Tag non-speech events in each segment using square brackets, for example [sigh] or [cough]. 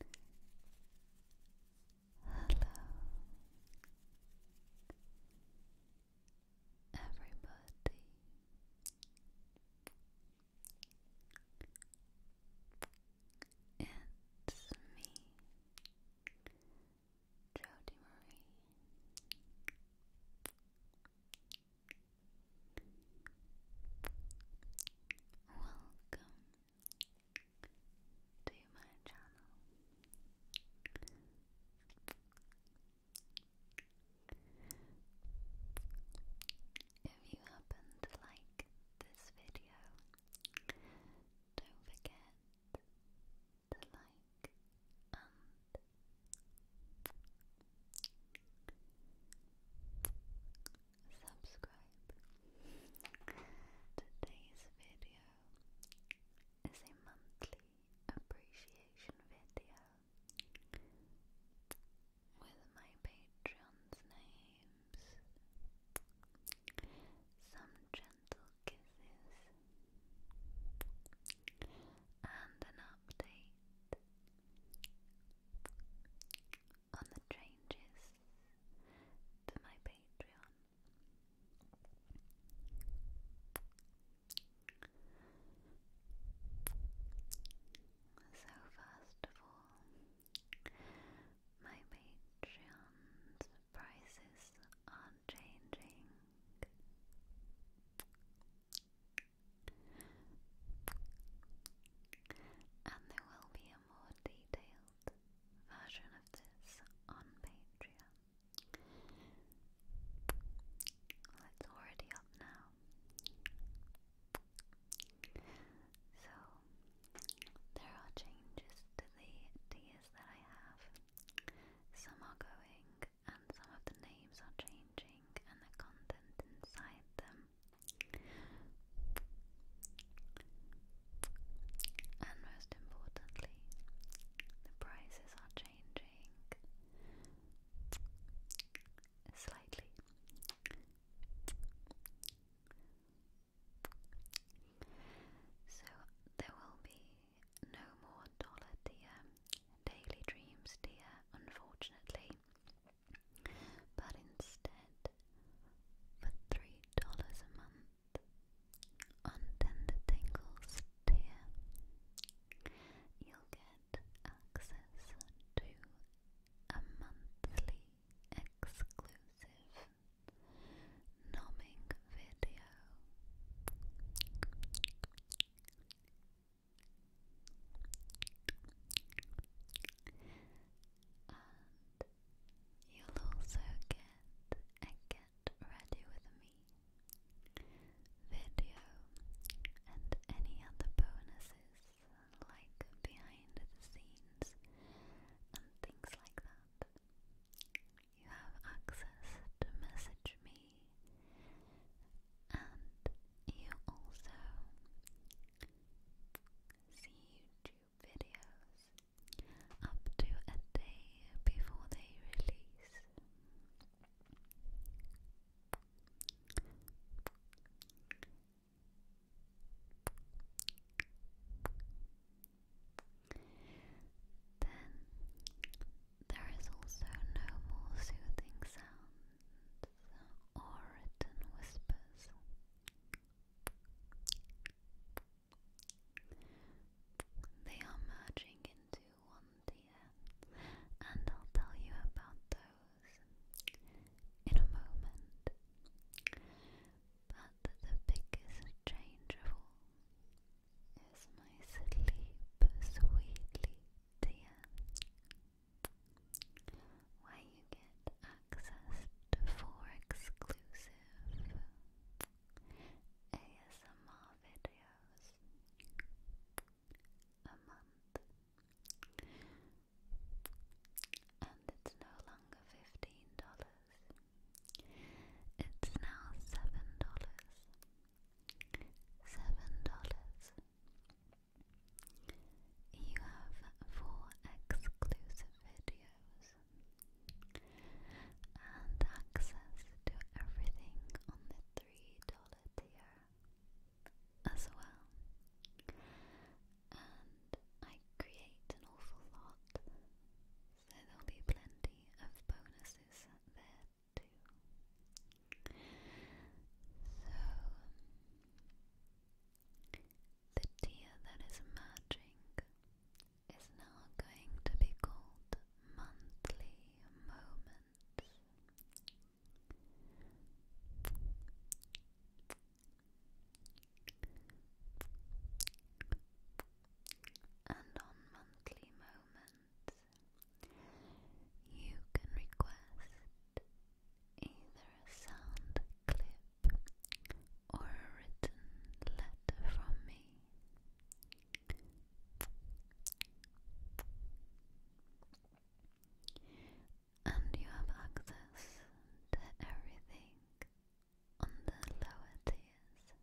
Hello, everybody. It's me, Jody Marie. Welcome to my channel. If you happen to like this video, don't forget to like and subscribe. Today's video is a monthly appreciation video with my patrons' names, some gentle kisses, and an update on the changes to my Patreon. So, first of all, my Patreon's prices are changing. And there will be more detailed detailed version of this on Patreon. it's already up now. So, there are changes to the tiers that I have. Some are going, and some of the names are changing, and the content inside them and most importantly, the prices are changing slightly. So there will be no more dollar dear daily dreams dear, unfortunately. But instead, for three dollars a month on Tender Tingles tier. You'll get access to a monthly exclusive nomming video and you'll also get a get ready with me video and any other bonuses like behind the scenes and things like that. You have access to message me and you also see YouTube videos up to a day before they release. Then there is also no more soothing sounds or written whispers. They are merging into one tier, and I'll tell you about those in a moment. But the biggest change is my sleep, sweetly tier, where you get accessed for exclusive ASMR videos a month. And it's no longer $15. It's now $7. $7. You have four exclusive videos and access to everything on the $3 tier as well. And I create an awful lot, so there'll be plenty of bonuses there too. So, the tear that is emerging is now going to be called monthly moments. And on monthly moments, you can request either a sound clip or a written letter from me. And you have access to everything on the lower tiers.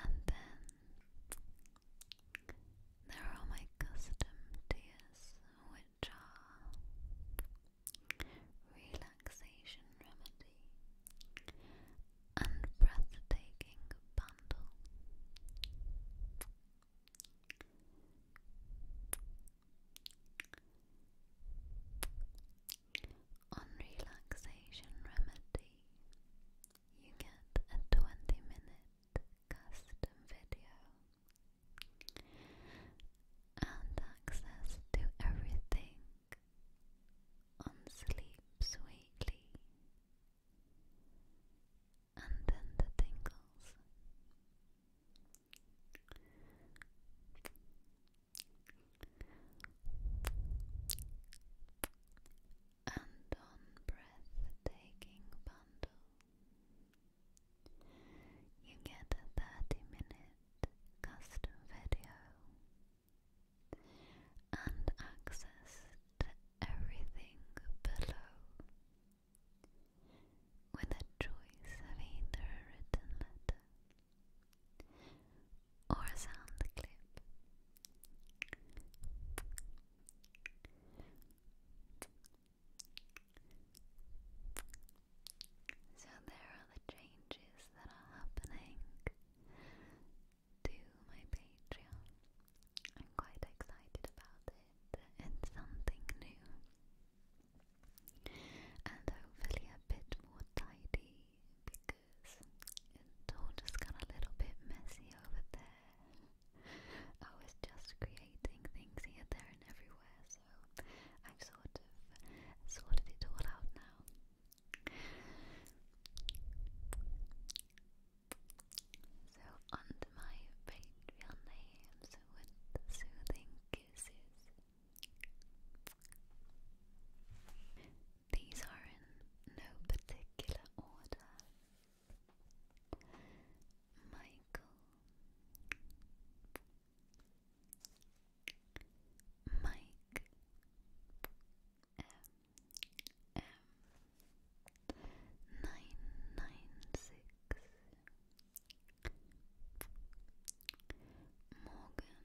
And then there are my custom tears, which are relaxation remedy and breathtaking bundle. On relaxation remedy, you get a 20 minute custom video and access to everything on Sleep Sweetly and then the tingles and on breathtaking bundle you get a 30 minute custom video and access to everything below with a choice of either a written letter or a sound clip. So there are the changes that are happening to my Patreon. I'm quite excited about it. It's something new and hopefully a bit more tidy because it's all just got a little bit messy over there. I was just creating things here, there, and everywhere, so I've sort of sorted it all out now. So, on to my Patreon names with soothing kisses. These are in no particular order. Michael, Mike, M, M, nine nine six. Morgan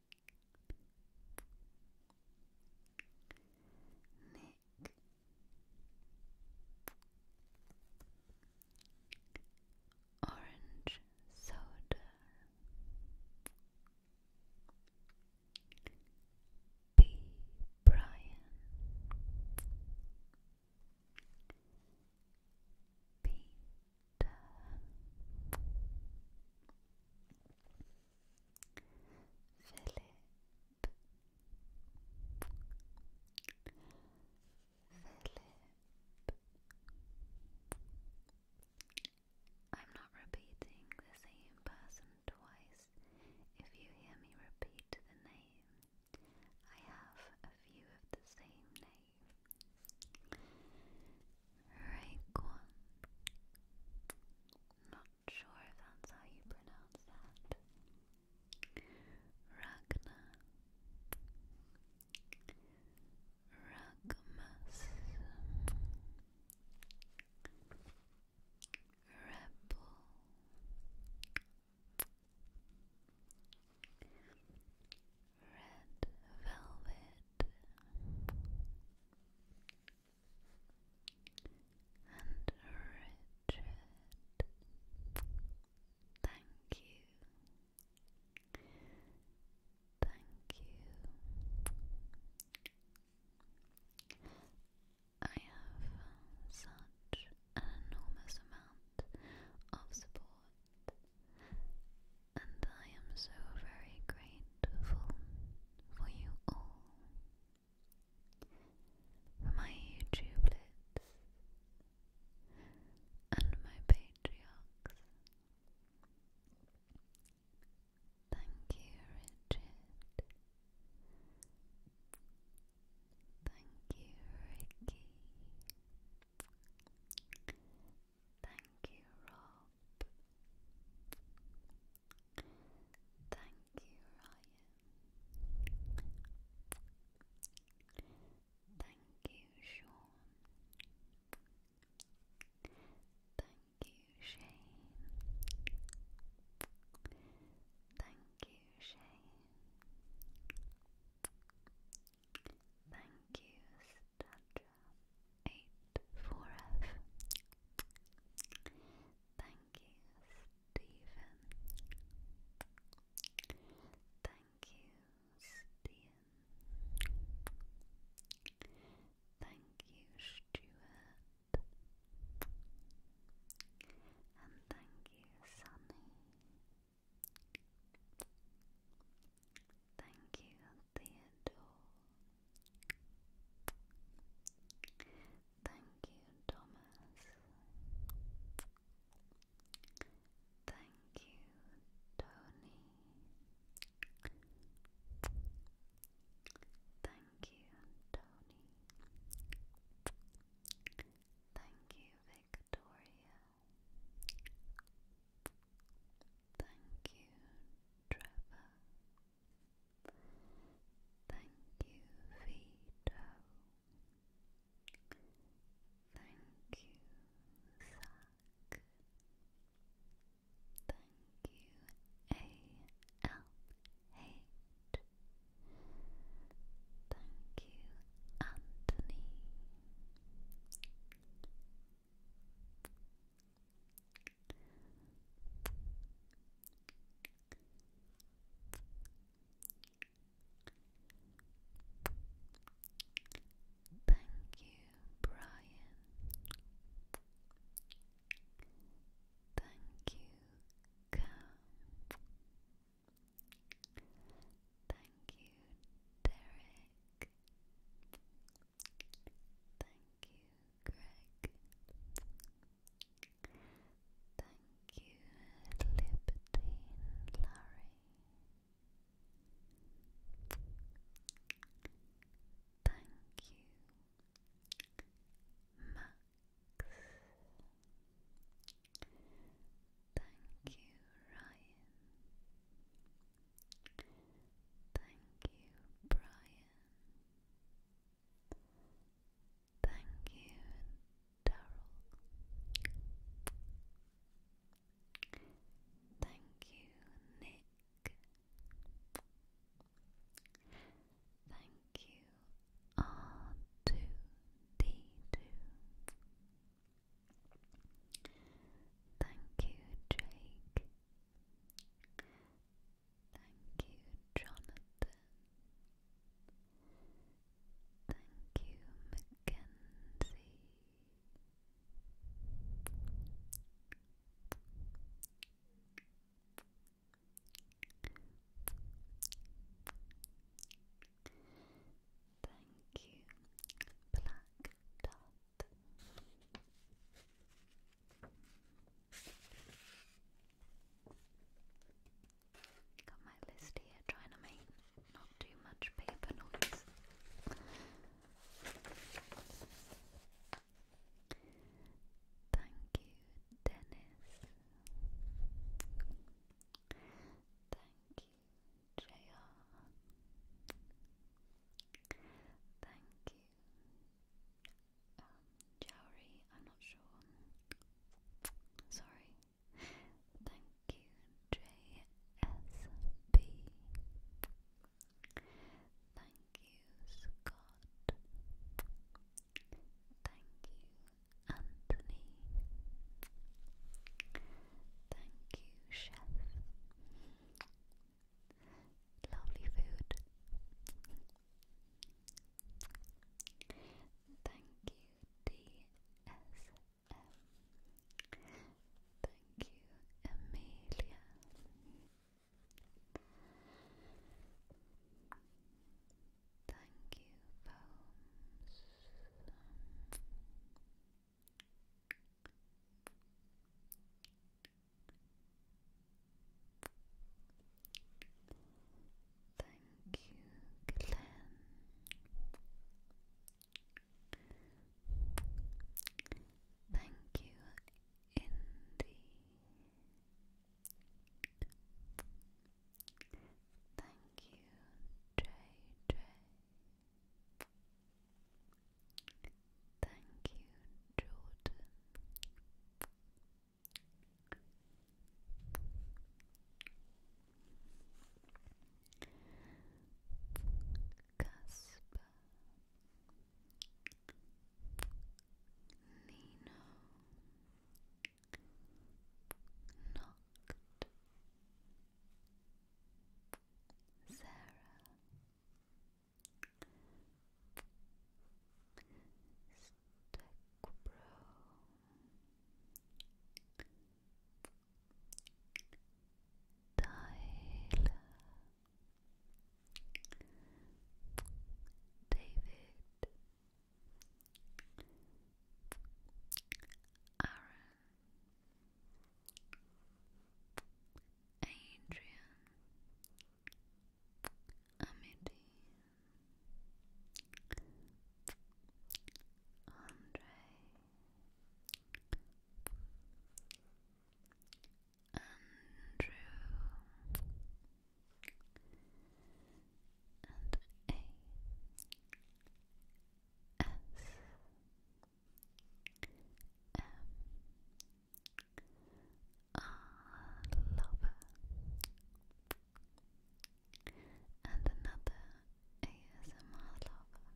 Nick Orange Soda B. Brian Peter I'm not repeating the same person twice. If you hear me repeat the name, I have a few of the same name. Raekwon sure that's how you pronounce that. Ragna. Ragmas. Rebel. Red Velvet and Richard. Thank you. Thank you. I have such an enormous amount of support, and I am so very grateful for you all. my YouTubelets and my patriarchs. Thank you, Richard. Thank you, Ricky. Thank you, Rob. Thank you, Ryan. Thank you, Sean. Thank you, Shane. Thank you, Shane. Thank you, Stadra. 84F. Thank you, Stephen. Thank you, Stian. Thank you, Stuart. And thank you, Sunny. Thank you, Theodore. Thank you, Thomas. Thank you, Tony. Thank you, Tony. Thank you, Victoria. Thank you, Trevor. Thank you, Vito. Thank you, Zach. Thank you, al Thank you, Anthony. Thank you, Brian. Thank you, Cam. Thank you, Derek. Thank you, Greg. Thank you, Libertine Larry. Thank you, Max. Thank you, Ryan. Thank you, Brian. Thank you, Daryl. Thank you, Nick. Thank you, r Thank you, Jake. Thank you, Jonathan. Thank you, Mackenzie. Thank you, Black Dot. Got my list here, trying to make not too much paper noise. Thank you, Dennis. Thank you, JR. Thank you, um, I'm not sure. Sorry. Thank you, JSB. Thank you, Scott. Thank you, Anthony. Thank you, Chef. Lovely food. Thank you, DSM. Thank you, Amelia. Thank you, Foams. Thank you, Glenn. Thank you, Indy. Thank you, JJ. Thank you, Jordan. Cusp Nino Knocked Sarah Stack Bro Tyler David Aaron Adrian Amity, Andre, Andrew, and A. S. M. I love And another ASMR lover.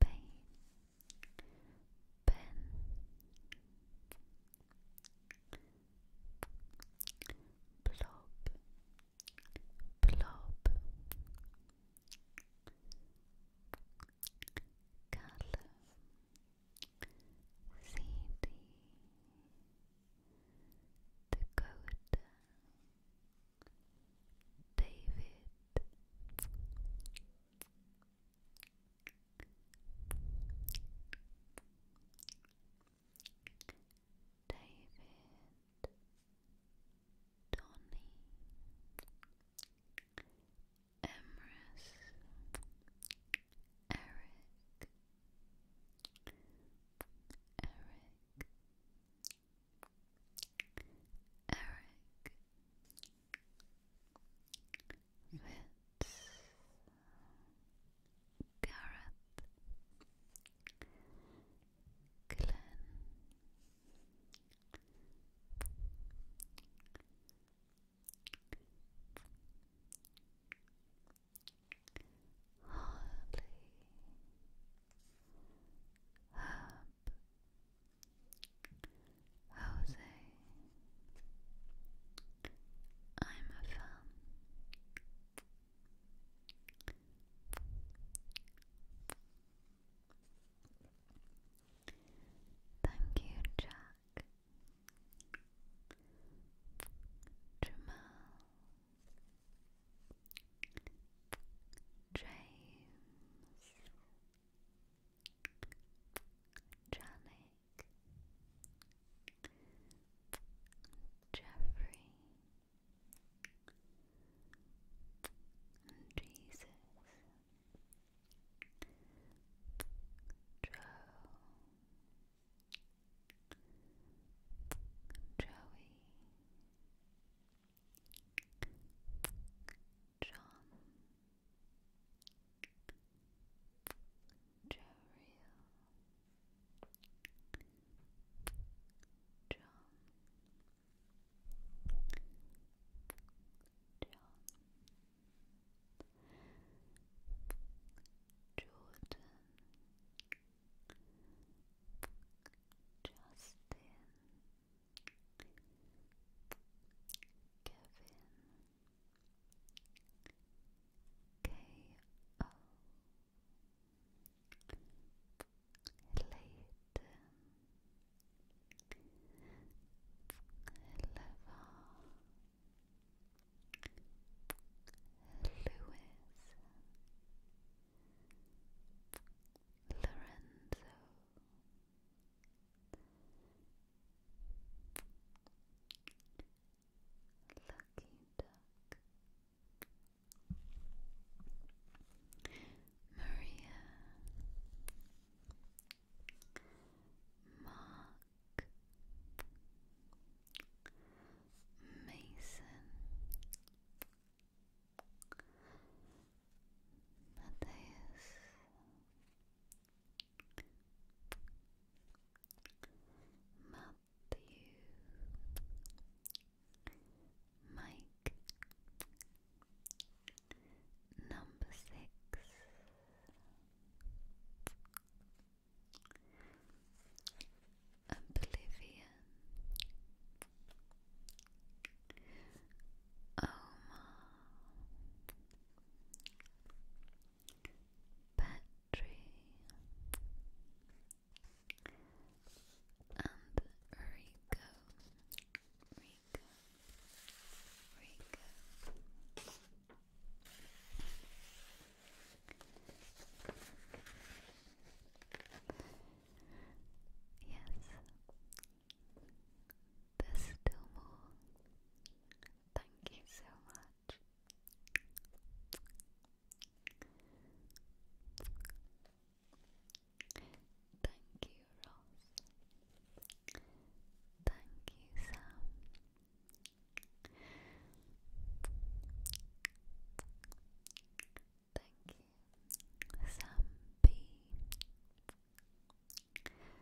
Pain. Ben. Blob. Blob. Color CD Dakota David David Donny Emrys, Eric, Eric, Eric, Fitz, Gareth, Glenn, Hardly Herb Jose I'm a fan Thank you, Jack. Jamal. James. Janik. Jeffrey. Jesus. Joe, Joey, John, Jerry, John. Jordan Justin Kevin K.O. Layton Levar Lewis Lorenzo Lucky Duck Maria Mark Mason Matthias Matthew Mike Number six. Oblivion. Omar. Battery. And Rico. Yes, there's still more. Thank you so much. Thank you Thank you, Sam. Thank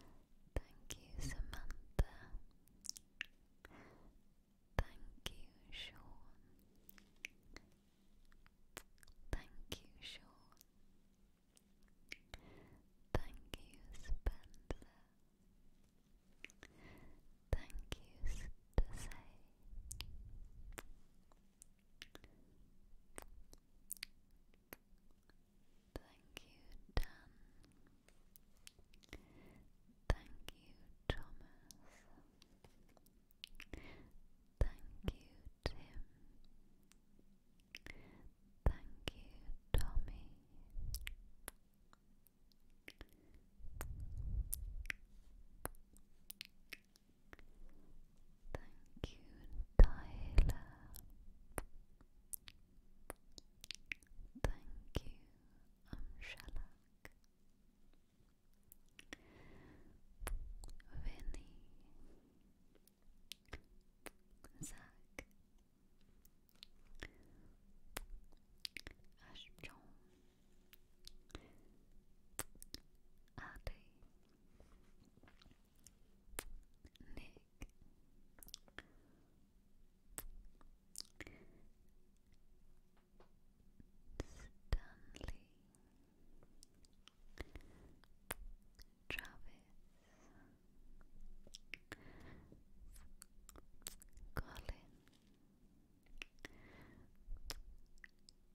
you, Sam Thank you, Samantha. Thank you, Sean. Thank you, Sean. Thank you, Spencer. Thank you, Stacey. Thank you, Dan. Thank you, Thomas. Thank you, Tim. Thank you, Tommy. Thank you, Tyler. Thank you, Amshalak. Vinny. Zach Ash John Nick Stanley Travis, Colin,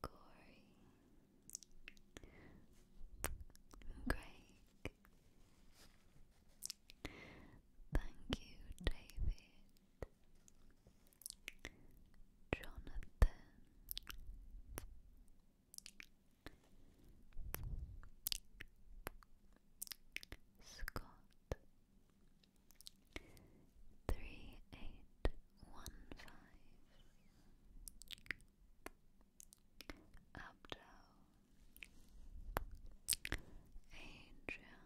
Corey, Greg. Thank you, David. Jonathan, Scott three eight one five Abdo Adrian Adrian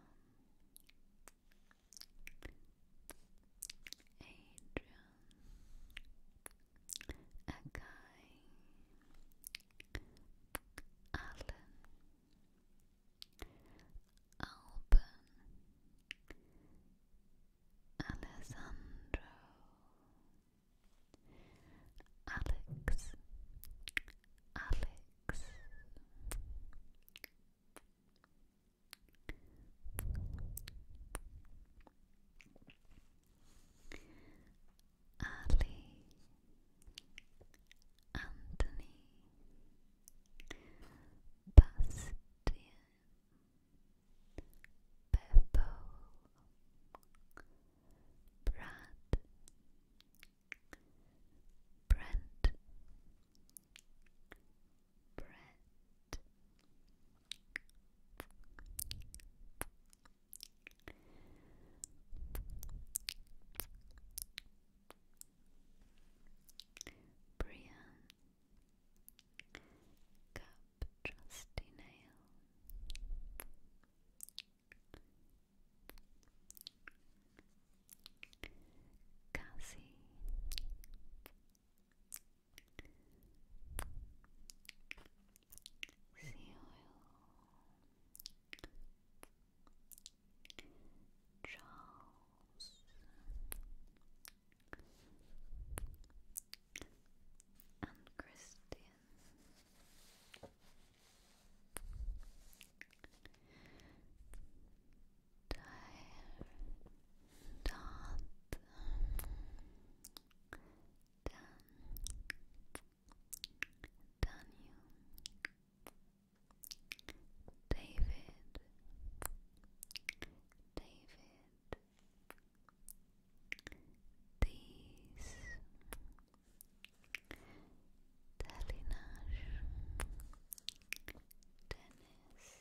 Akai Allen Alban Alessandro Alex Alex Ali, Anthony, Bastian, Beppo, Brad, Brent, Brent. Brian Cup Trusty Nail Cassie sea oil, Charles, and Christian. Dire, dot, Dan, Daniel David David These Delinash Dennis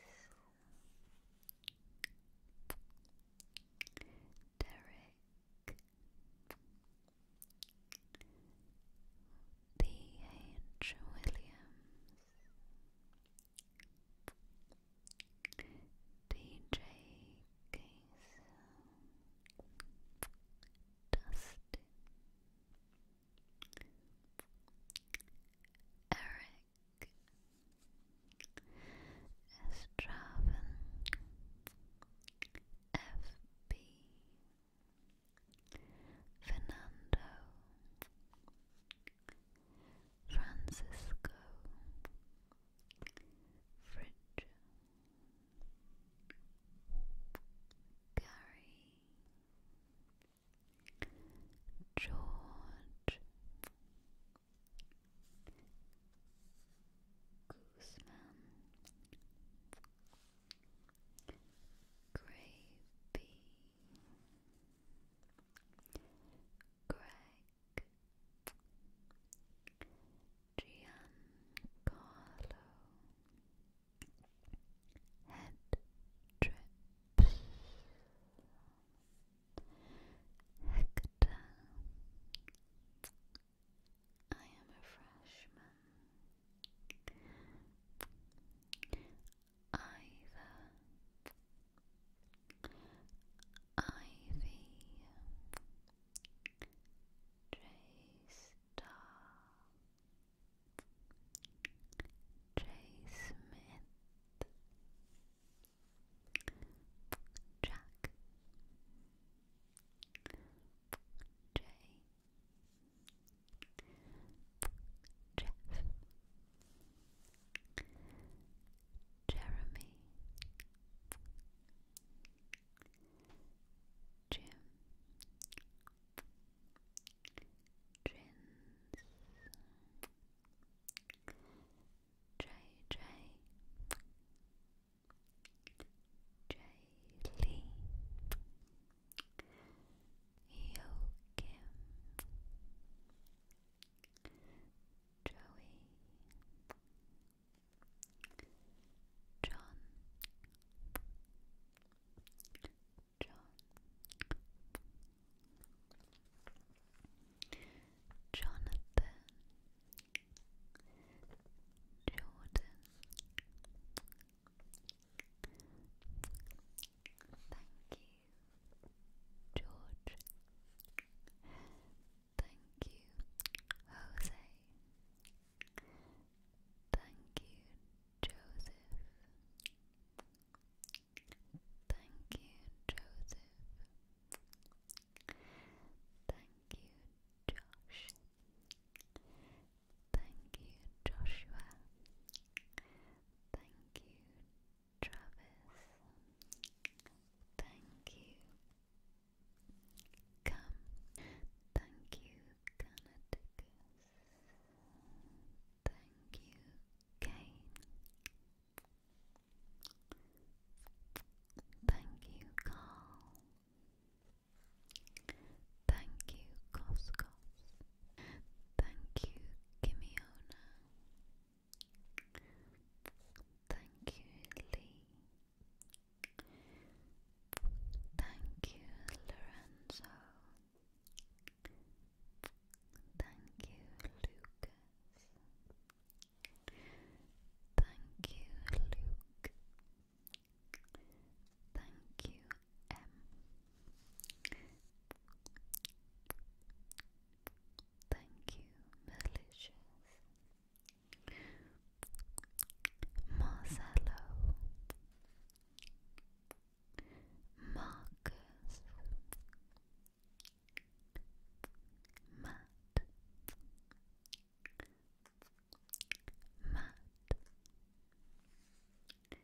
Derek D. H. Williams DJ Case Dustin Eric Straven FB Fernando Francisco Fridge Gary George Guzman Gravy Greg Giancarlo Head Hector I am a freshman. Either. Ivy J Star J Smith Jack J Jeff Jeremy Jim Jins JJ Jay Lee, Yo Kim, Joey, John, John, Jonathan. Jordan. Thank you, George. Thank you, Jose. Thank you, Joseph. Thank you, Joseph. Thank you, Josh. Thank you, Joshua. Thank you, Travis. Thank you. Come. Thank you, Canaticus. Thank you, Kane. Thank you, Carl. Thank you, Coscos. Thank you, Gimiona. Thank you, Lee. Thank you, Lorenzo. Thank you, Lucas. Thank you, Luke. Thank you, M. Thank you, Malicious. Marcelo. Marcus. Matt. Matt Matt and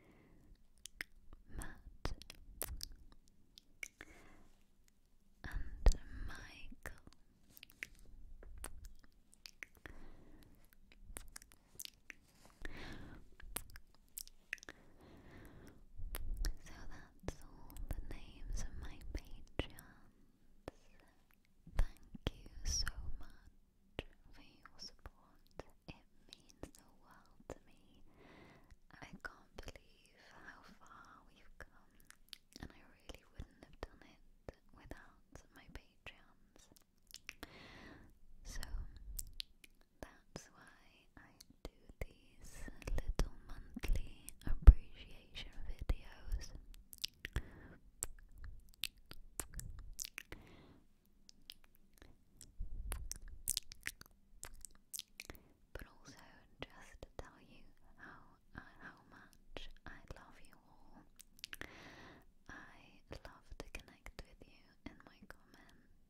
Michael so that's all the names of my patrons Thank you so much for your support. It means the world to me. I can't believe how far we've come, and I really wouldn't have done it without my Patreons. So that's why I do these little monthly appreciation videos. But also, just to tell you how uh, how much I love you all. I love to connect with you in my comments,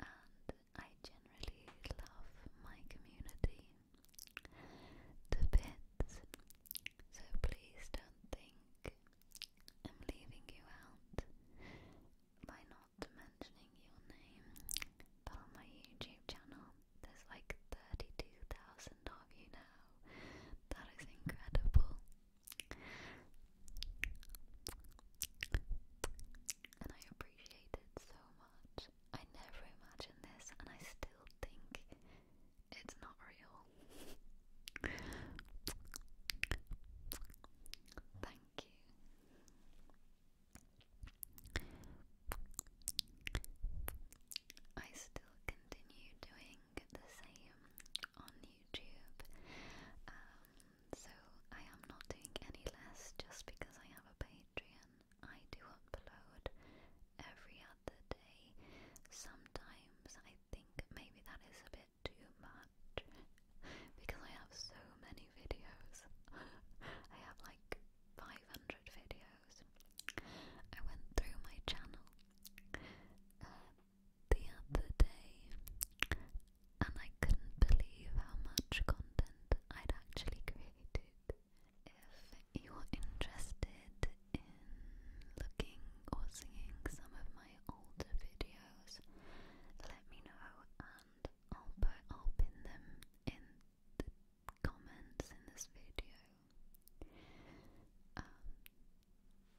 and I generally love my community the bits, so please don't think I'm leaving you out by not mentioning your name. But on my YouTube channel, there's like 32,000 of you now. That is incredible. And I appreciate it so much. I never imagined this, and I still think it's not real. Thank you. I still continue doing the same on YouTube, um, so I am not doing any less just because I have a Patreon. I do upload every other day. Sometimes I think maybe that is a bit too much [laughs] because I have so many videos. [laughs] I have like 500 videos. I went through my channel uh, the other day and I couldn't believe how much content I'd actually created. If you're interested in looking or seeing some of my older videos, let me know and I'll put I'll them in the comments in this video. Um,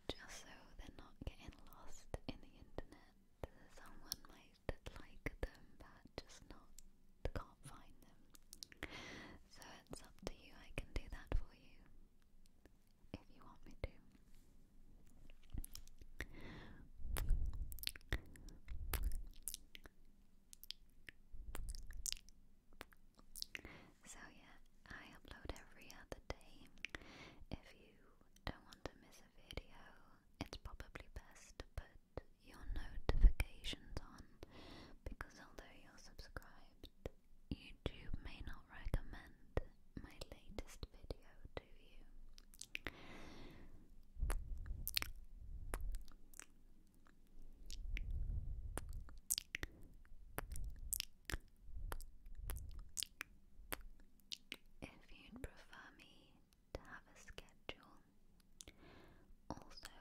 just so they're not getting lost in the internet. Someone might like them but just not can't find them. So it's up to you, I can do that for you if you want me to. So, yeah, I upload every other day. If you don't want to miss a video, it's probably best to put your notifications on on because although you're subscribed, YouTube may not recommend my latest video to you. If you'd prefer me to have a schedule, also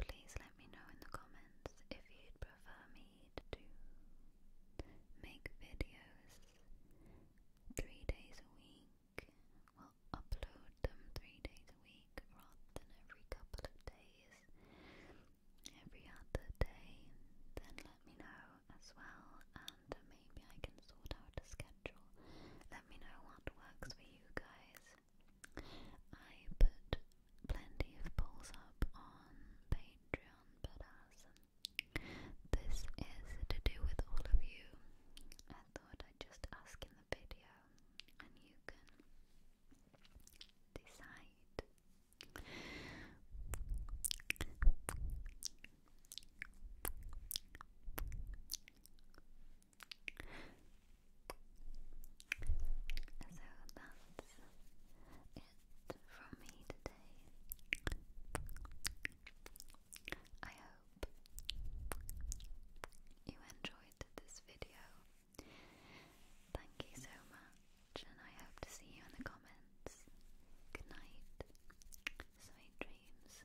Please let me know in the comments if you'd prefer me to make videos three days a week. Well, upload them three days a week rather than every couple of days, every other day. Then let me know as well, and maybe I can sort out a schedule. Let me know what works for you guys. I put plenty of polls up on Patreon, but as this is to do with all of you, I thought I'd just ask in the video and you can decide. So that's it from me today. I hope you enjoyed this video. Thank you so much, and I hope to see you in the comments. Good night, sweet dreams.